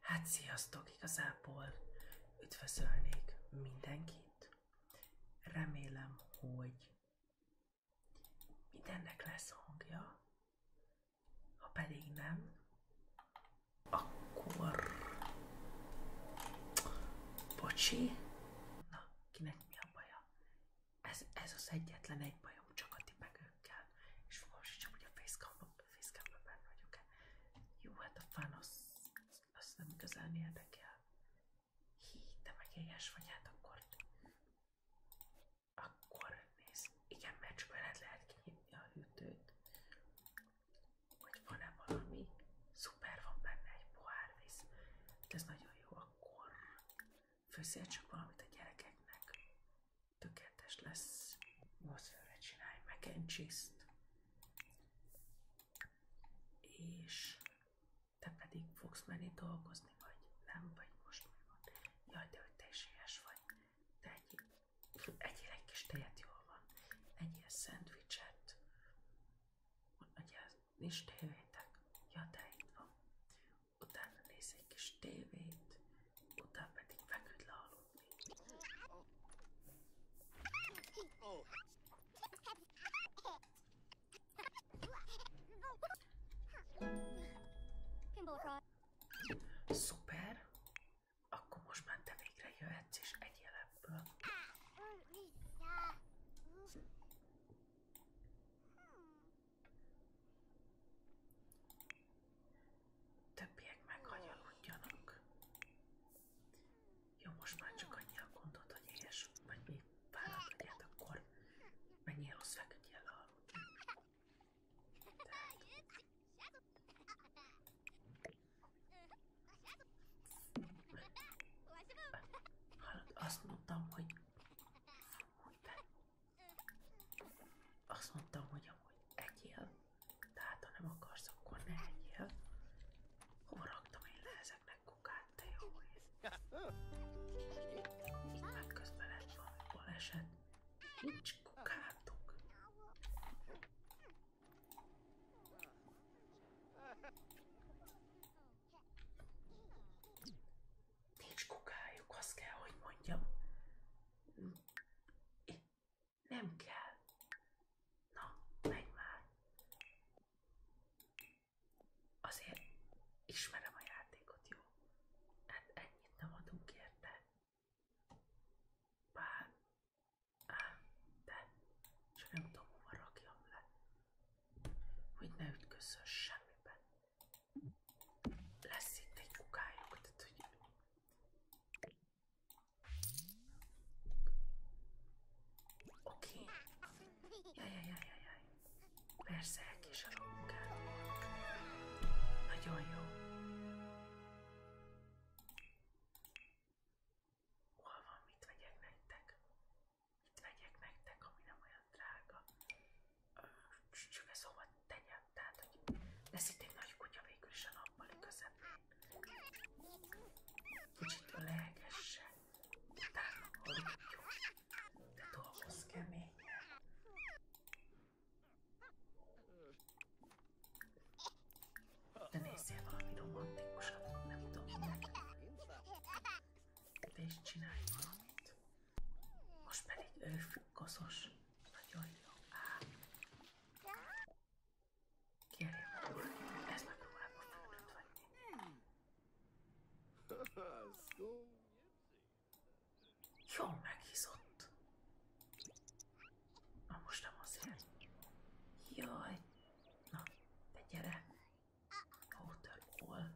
Hát sziasztok, igazából üdvözölnék mindenkit. Remélem, hogy mindennek lesz hangja. Ha pedig nem, akkor... Bocsi. Na, kinek mi a baja? Ez, ez az egyetlen egy bajom, csak a tipek szemünkkel, és fogalmasítsam, hogy a facecamban benne vagyok-e. Jó, hát a fán az, az nem igazán érdekel. Hí, te meg éhes vagy, hát akkor... Akkor nézd, igen, mert csak veled lehet kinyitni a hűtőt. Hogy van-e valami? Szuper, van benne egy pohár víz. Ez nagyon jó, akkor főszél csak valamit a gyerekeknek tökéletes lesz. Nyolcfőre csinálj mac and cheese-t. És te pedig fogsz menni dolgozni, vagy nem, vagy most mi van. Jaj, vagy. Te egy, egy kis tejet, van. Egyél szendvicset. Ugye, nincs tévétek? Ja, van. Utána néz egy tévét, utána pedig feküdt lealudni. Szuper! Akkor most már te végre jöhetsz és egyél ebből. Többiek meghagyaludjanak. Jó, most már csak annyi a gondod, hogy éhes vagy még fáradt legyed, akkor menjél rossz feküdjél aludni. Tehát... Hallod, azt mondtam, hogy, hogy te azt mondtam, hogy amúgy egyél, tehát ha nem akarsz, akkor ne egyél. Hova raktam én le ezeknek kukát, te jó ég? Itt már közben lett valami baleset. Nincs kukátok. Nincs kukájuk, azt kell, hogy mondjam. Nem kell. Na, menj már. Azért ismerem a játékot, jó? Hát ennyit nem adunk érte. Bár... Ám, de... Csak nem tudom, hova rakjam le. Hogy ne ütközzön semmiben lesz itt egy kukájuk, tehát hogy Oké. Okay. Jajjajjajjaj. Jaj, jaj, jaj. Persze, elkéselő munkád volt. Nagyon jó. Hol van, mit vegyek nektek? Mit vegyek nektek, ami nem olyan drága? sügeszomat szóval tenyem, tehát hogy lesz itt egy nagy kutya végül is a nappali közepén. Kicsit lehegesse, utána aludjon, de dolgozz keményen. De nézzél valami romantikusat, nem tudom. Te is csinálj valamit. Most pedig őrfüggkoszos. Nagyon jó. Á. ez megpróbálom a földet Jól meghizott. most nem azért. Na, te gyere. Waterfall.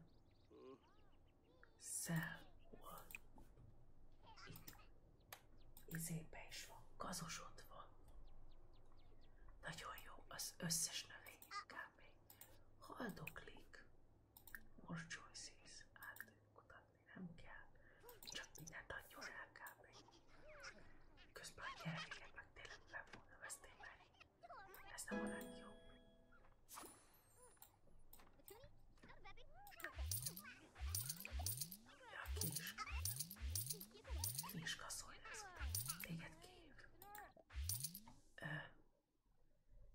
Szel volt. Itt. Izébe is van. Gazos ott van. Nagyon jó. Az összes növény kb. Haldoklik. Most choices. Át tudjuk kutatni. Nem kell. Csak mindent adjon el kb. Közben a gyerekeket meg tényleg nem volna vesztélni. Ez nem a legjobb. Ja, kis. Kis kaszolj, nézzük.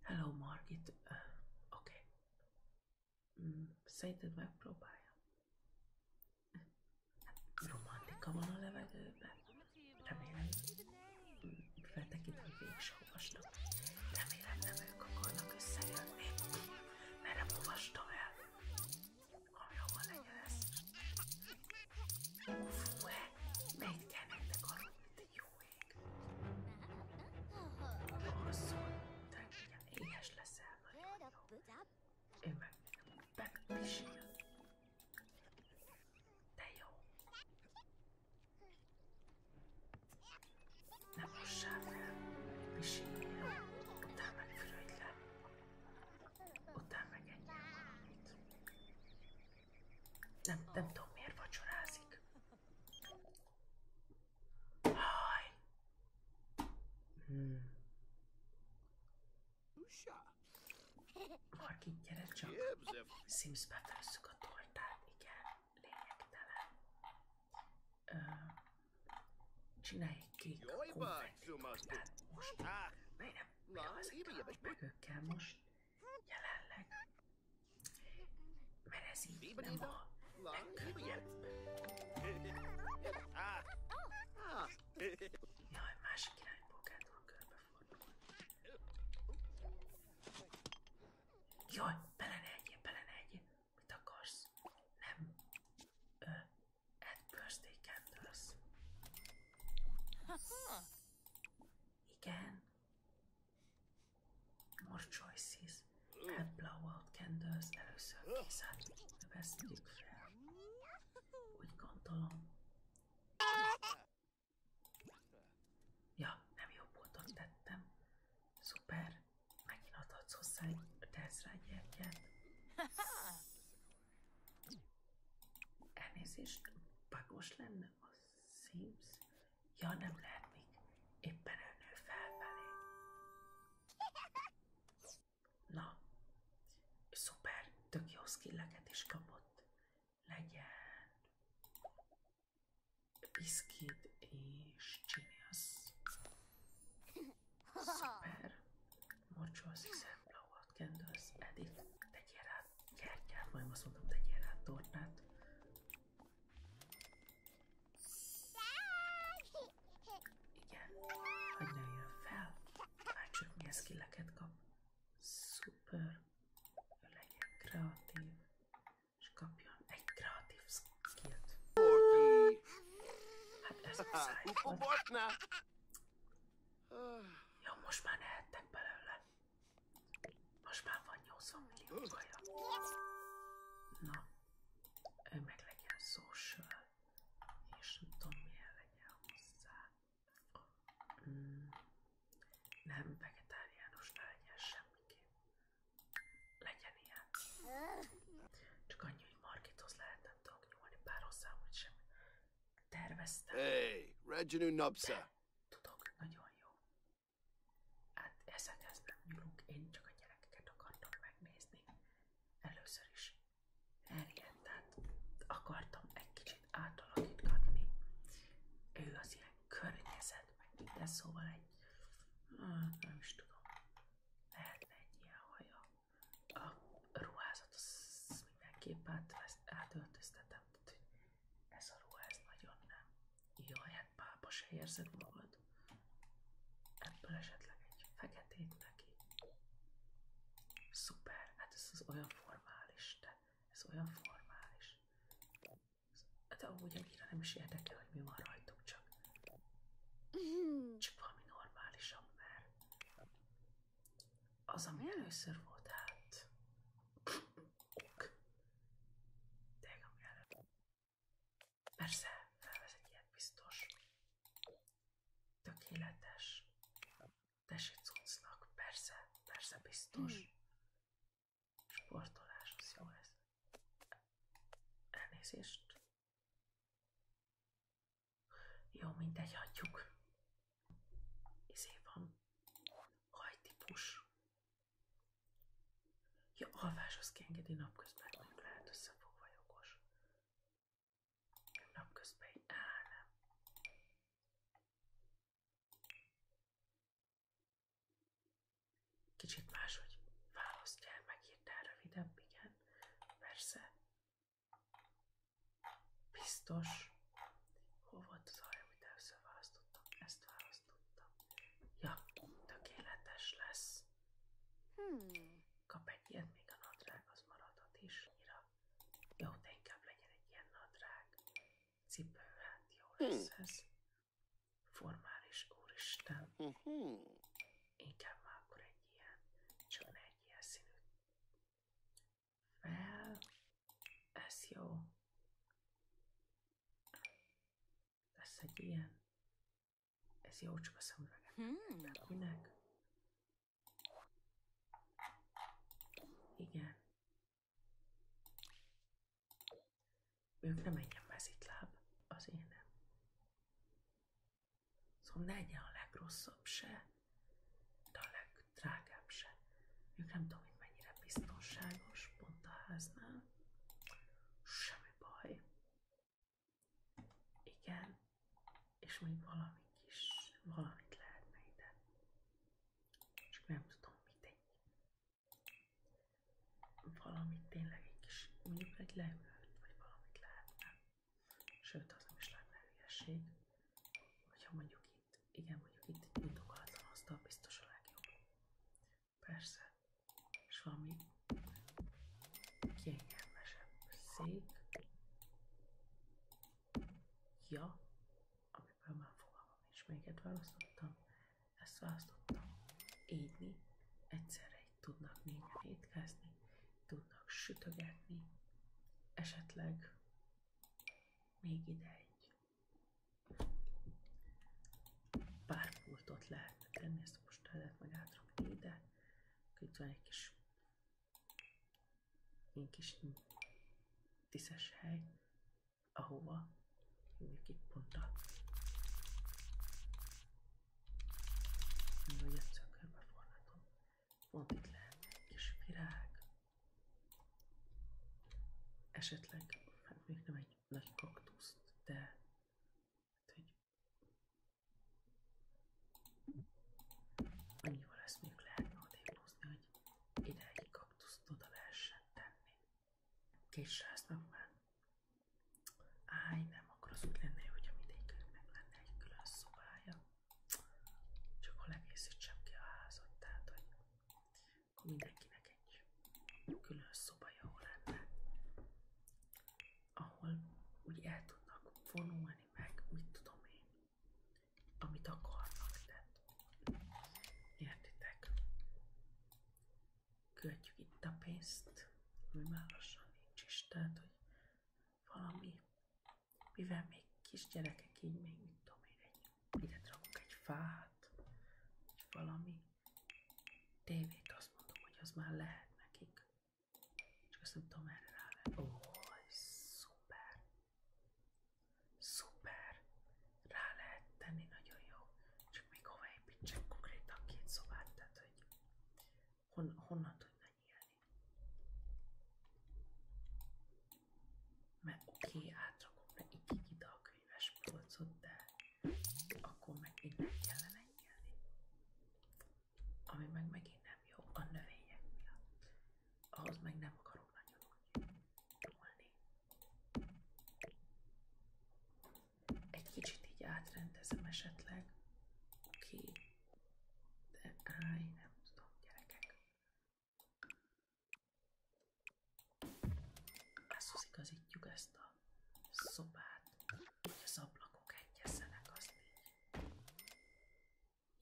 hello, Margit. Oké. Okay. Mm, szerinted megpróbálja? Romantika van a levegőben? Remélem. Mm, feltekintem végső ovasnak. Remélem nem ők akarnak összejönni, mert nem olvastam el, ami hova legyen ez. Fú, -e, eh, még kell nektek aludni, jó ég. Alszol, te mindjárt éhes leszel, nagyon jó. Én meg megpisil. De jó. Ne mossál fel, egy utána meg le, utána meg Nem, nem tudom miért vacsorázik. Haj! Hmm. Marki, gyere csak. Szimszbe főzzük a tortát, igen lényegtelen. Ö, csinálj egy kék konfettikustát most. Miért nem? Mi az, most meg ők kell most jelenleg? Mert ez így nem a legkönnyebb. Jaj, másik irányból kell körbe fordulni. Jaj, bele ne egyél, bele ne egyél. Mit akarsz? Nem. Ö, add birthday candles. Igen. More choices. Add hát blowout candles. Először készít. Vesztjük fel. Úgy gondolom. Ja, nem jó ponton tettem. Szuper. Megint adhatsz hozzá egy teszrányjegyet. Elnézést, bagos lenne a Sims? Ja, nem lehet még. Éppen elnő felfelé. Na, szuper, tök jó skilleket is kapott legyen piszkid és csinyász. Szuper. Morcsolsz, hiszen blowot kendősz, edit, tegyél rá gyertyát, majd azt mondom, tegyél rá tornát. Igen, hogy nőjön fel. Látsuk, milyen skilleket kap. Szuper. Ő legyen kreatív és kapjon egy kreatív skillt. Hát ez muszáj volt. Jó, most már nehettek belőle. Most már van 80 millió kaja. Na, ő meg legyen social, és nem tudom milyen legyen hozzá. Mm. Nem vegetáriánus ne legyen semmiképp. Legyen ilyen. Csak annyi, hogy Markithoz lehet nem tudok nyúlni, bár hozzám úgy Hey, Reginő Napsa! Tudok, nagyon jó. Hát ezekhez nem nyúlunk, én csak a gyerekeket akartam megnézni. Először is Harryet, tehát akartam egy kicsit átalakítgatni. Ő az ilyen környezet, meg minden szóval egy, nem is tudom, lehetne egy ilyen A ruházat az mindenképp átöltöztetem, tehát ez a ruha, ez nagyon nem. Jaj, hát pápa magad. Ebből esetleg egy feketét Szuper, hát ez az olyan formális, tehát ez olyan formális. De hát ahogy annyira nem is érdekel, hogy mi van rajtuk, csak, csak valami normálisabb, mert az, ami először volt, hát ok. Tényleg, ami Persze, felvesz egy ilyet biztos. Tökéletes. Tessék cuccnak, persze, persze biztos. Mm. Sportolás, az jó lesz Elnézést. Jó, mindegy, hagyjuk. Izé van. Hajtípus. Ja, alváshoz kiengedi napközben, nem lehet összefogva jogos. Napközben így áll, nem. Kicsit más, máshogy választjál meg hirtelen rövidebb, igen, persze. Biztos. Hol volt az arra, amit először választottam? Ezt választottam. Ja, tökéletes lesz. Hmm. Kap egy ilyet, még a nadrág az maradhat is. Jó, de inkább legyen egy ilyen nadrág. Cipő, hát jó lesz ez. Formális, úristen. Mhm. Igen, már akkor egy ilyen, csak egy ilyen színű. Fel. Ez jó. Ez egy ilyen. Ez jó, csak a szemüvegem. Hmm. Tehát minek? Igen. Ők nem engem mezitláb, az én Szóval ne egyen a legrosszabb se, de a legdrágább se. Ők nem tudom, hogy mennyire biztonságos pont a háznál. Semmi baj. Igen, és még valami kis, valamit lehetne ide csak nem tudom mit Valamit tényleg egy kis, mondjuk egy leülőt, vagy valamit lehetne. Sőt, az nem is lenne hülyeség. Hogyha mondjuk itt, igen, mondjuk itt egy nyitogatlan asztal biztos a legjobb. Persze. És valami kényelmesebb szép ja, amiből már fogalmam nincs, melyiket választottam, ezt választottam. Égni, egyszerre itt tudnak négyen étkezni, tudnak sütögetni, esetleg még ide egy pár pultot lehetne tenni, ezt most el lehet meg átrakni ide, itt egy kis ilyen kis tiszes hely, ahova hívjuk itt ponttal. Mindegy, egyszer körbe forgatom. Pont itt lehet egy kis virág. Esetleg, hát még nem egy nagy kaktuszt, de hát, hogy annyival ezt még lehetne odébb hozni, hogy ide egy kaktuszt oda lehessen tenni. Késsel ezt megvár. Áj, nem, akkor az úgy lenne, hogyha mindegyiknek lenne egy külön szobája. Csak hol egészítsem ki a házat, tehát hogy mindenkinek egy külön szobaja lenne, ahol úgy el tudnak vonulni, meg mit tudom én, amit akarnak, tehát értitek. Költjük itt a pénzt, ami már lassan hogy valami, mivel még kisgyerekek így még, mit tudom én, egy, ide rakok egy fát, vagy valami tévét, azt mondom, hogy az már lehet nekik. Csak azt nem tudom, erre Ó, oh, szuper! Szuper! Rá lehet tenni, nagyon jó. Csak még hova építsek konkrétan két szobát, tehát hogy hon, honnan tudna nyílni. Mert oké, okay, átrakom le így ide a könyves polcot, de akkor meg innen kellene nyílni. Ami meg megint nem jó a növények miatt ahhoz meg nem akarom nagyon úgy Egy kicsit így átrendezem esetleg ki, de áj, nem tudom, gyerekek. Házhoz igazítjuk ezt a szobát, hogy az ablakok egyezzenek, azt így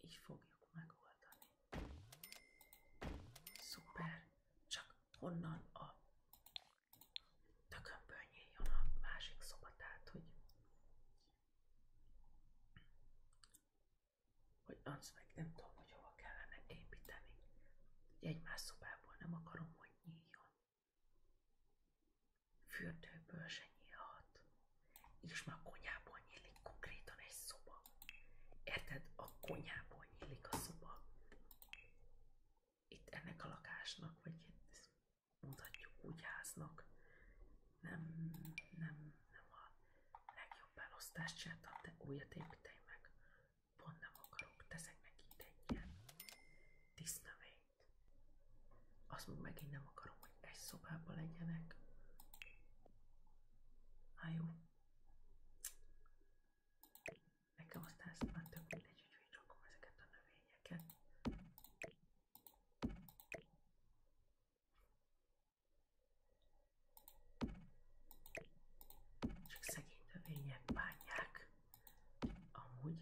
így fogjuk megoldani. Szuper! Csak honnan a tökömből nyíljon a másik szobát, tehát, hogy hogy azt meg nem tudom, hogy hova kellene építeni. más szobából nem akarom, hogy nyíljon. Fürdőből se nyílhat és már a konyhából nyílik konkrétan egy szoba. Érted? A konyhából nyílik a szoba. Itt ennek a lakásnak, vagy ezt mondhatjuk úgy háznak, nem, nem, nem a legjobb elosztást csináltam, de újat építelj meg. Pont nem akarok, teszek neki ide egy ilyen disznövényt. Azt meg megint nem akarom, hogy egy szobában legyenek. Á, jó. Nekem aztán ez már tök mindegy, hogy rakom a növényeket. Csak szegény növények bánják. Amúgy,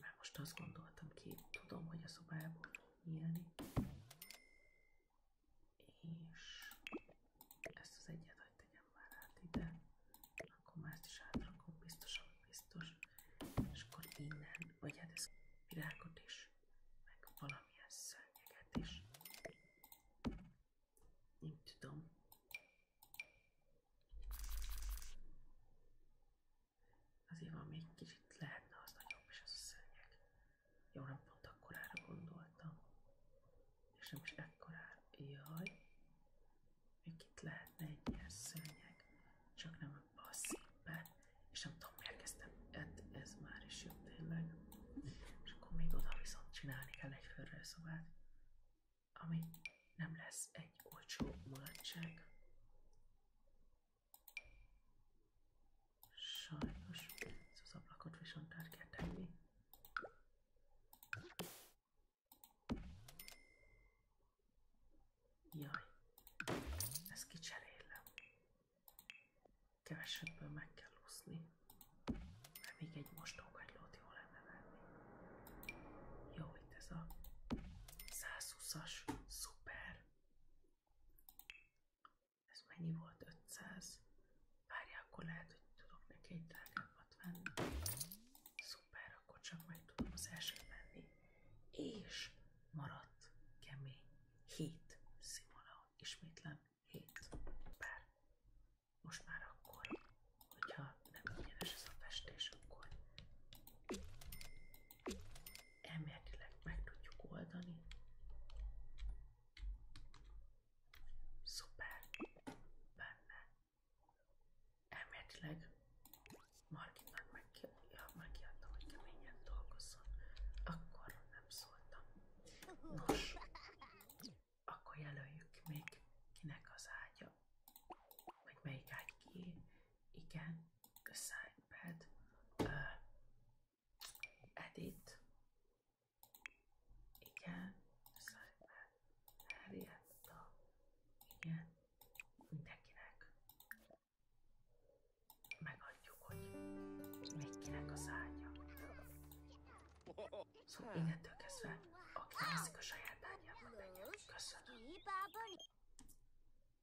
már most azt gondoltam ki, tudom, hogy a szobájából nyílni. És ezt az egyet, hogy tegyem már át ide, akkor már ezt is átrakom, biztos, ami biztos. És akkor innen, vagy hát ezt virágot is, meg valamilyen szörnyeget is. Nem tudom. Azért van még kicsit lehetne az nagyobb, és az a szőnyeg. Jó, nem pont akkorára gondoltam. És nem is ekkorára. Jaj. Még itt lehetne egy ilyen szőnyeg. Csak nem ebben a szépen. És nem tudom, miért kezdtem. Hát ez már is jobb tényleg. És akkor még oda viszont csinálni kell egy fölrőszobát. Ami nem lesz egy olcsó mulatság. Sajnos ez az ablakot viszont át kell tenni. Jaj, ezt kicserélem. Kevesebből meg kell úszni. Mert még egy mostókagylót jó lenne venni. Jó, itt ez a 120-as, szuper. Ez mennyi volt? 500. Várjál, akkor lehet, hogy tudok neki egy drágábbat venni. Szuper, akkor csak meg tudom az elsőt venni. És maradt kemény. 7 szimula. Ismétlem 7 pár. Most már akkor, hogyha nem ingyenes a festés, akkor elméletileg meg tudjuk oldani. Szuper, benne. Elméletileg Margitnak ja, megkiadtam, hogy keményen dolgozzon. Akkor nem szóltam. Nos, akkor jelöljük még kinek az ágya, vagy melyik ágy ki, igen, assign pad, uh, edit, igen, assign pad, Harrietta, igen, mindenkinek megadjuk, hogy még az ágya. Szóval innentől kezdve, aki veszik a saját ágyában, köszönöm.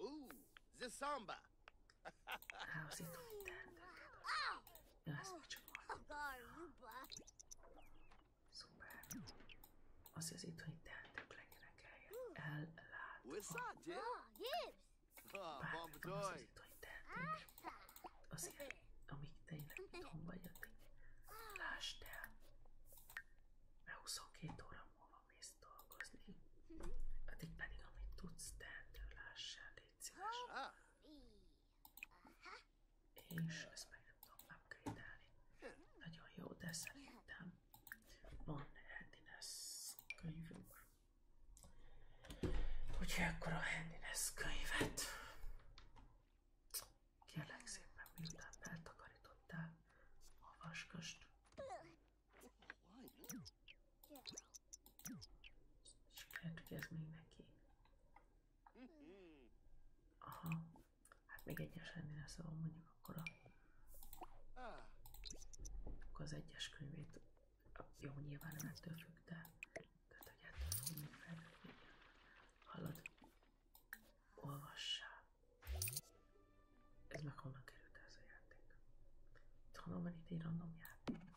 Ooh, the samba. Ahhoz itt van minden. Ja, ezt megcsináltam. Szuper. Az az itthoni teendők legyenek el. Ellátom. Vártam az az itthoni teendőkre. Azért, amíg tényleg itthon vagy, addig ah. lásd el. Mert 22 óra múlva mész dolgozni. Addig hát pedig, amit tudsz, tehető lássál, légy szíves. Ah. És ezt meg nem tudom upgrade-elni. Nagyon jó, de szerintem van handiness könyvünk. Úgyhogy akkor a handiness könyvet kérlek szépen, miután eltakarítottál, olvasgast. Lehet, hogy ez még neki. Aha. Hát még egyes lenne, szóval mondjuk akkor a... Akkor az egyes könyvét... Jó, nyilván nem ettől függ, de... Tehát, hogy ettől fog még fejlődni. Hallod? Olvassál. Ez meg honnan került ez a játék? Itt honnan van itt egy random játék?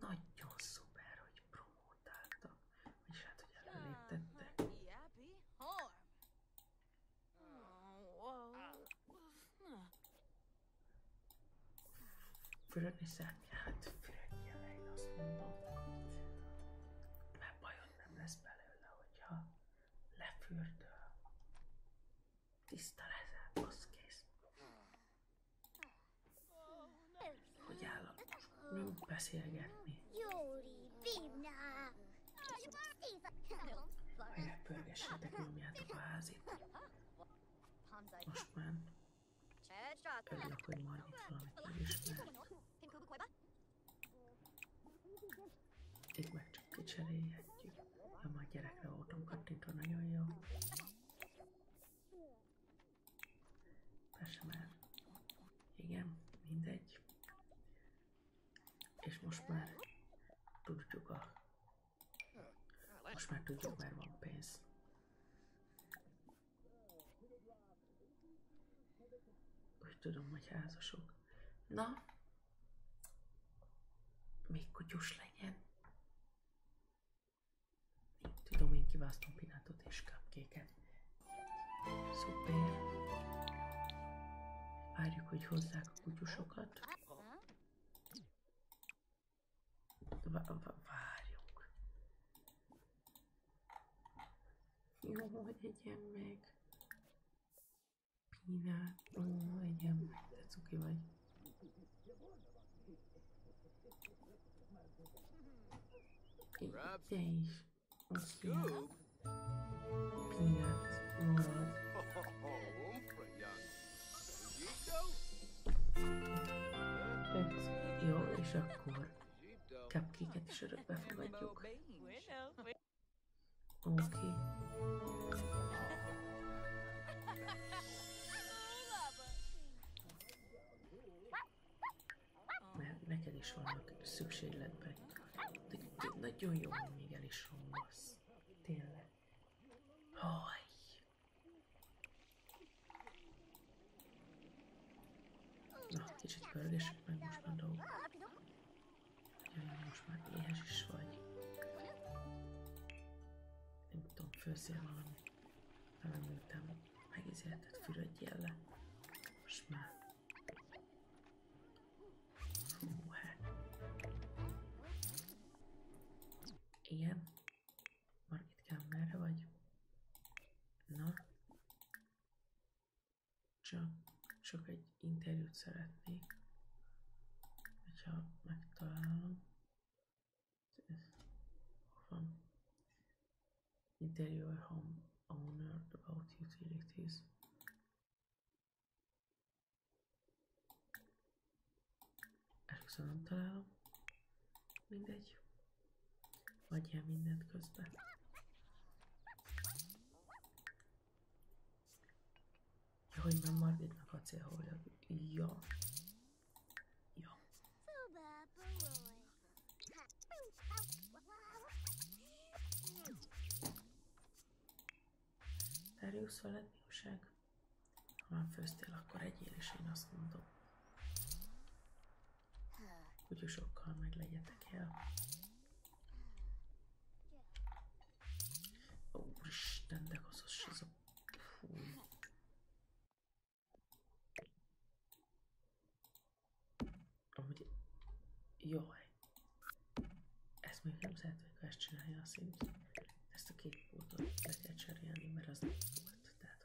Nagyon szuper, hogy promotáltak. És hát, hogy előléptettek. Fürödni szeretnél? Hát fürödjél le, én azt mondom. Mert bajod nem lesz belőle, hogyha lefürdöl. Tiszta leszel, az kész. Hogy állapos? Nem beszélgetni. Jóri, Vinna! Mire pörgessétek nyomjátok a házit. Most már. Örülök, hogy ma annyit valamit megismert. Itt meg csak kicserélhetjük. Ha már gyerekre voltam kattintva, nagyon jó. Persze már. Igen, mindegy. És most már tudjuk a... Most már tudjuk, mert van pénz. Úgy tudom, hogy házasok. Na, még kutyus legyen. Tudom, én kiválasztom pinátot és cupcake-et. Szuper. Várjuk, hogy hozzák a kutyusokat. Várjuk. Jó, hogy egyen meg. Kínál. Ó, igen, de cuki vagy. Te is. Scoop? Peanut. Marad. Jó, és akkor cupcake-et is örökbe fogadjuk. Okay. Mert neked is vannak szükségletben. De, de nagyon jó, hogy még el is romlasz. Tényleg. Haj. Na, kicsit pörgessük meg most már dolgokat. Most már éhes is vagy. Nem tudom, főzzél valamit. Nem említem, megízélted, fürödjél le. Most már. Hú, hát. Igen. Margitkám, merre vagy? Na? csak, csak egy interjút szeretnék, hogyha megtalálom. Ez, van. Interior home owner about utilities. Ezt nem találom. Mindegy. Adjál mindent közben. Ja, hogy nem Margitnak a célhólag. Ja. Ja. Darius veled mi Ha már főztél, akkor egyél, is én azt mondom hogy sokkal meg legyetek el. Úristen, de gazos az a... Fúj. Amúgy... Jaj. Ez még nem szeretnék, ha ezt csinálja a Sims. Ezt a két pultot le kell cserélni, mert az nem volt. Tehát,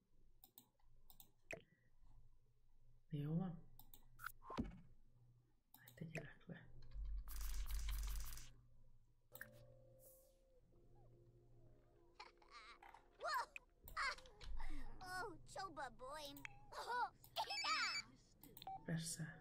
Jó van. Hát tegyelek le. Persze.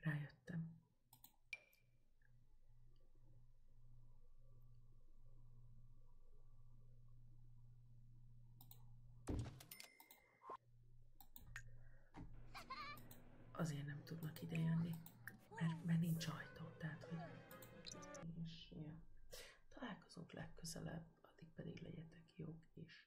Rájöttem. Azért nem tudnak ide jönni, mert, mert nincs ajtó, tehát hogy... És, ja. Találkozunk legközelebb, addig pedig legyetek jók is.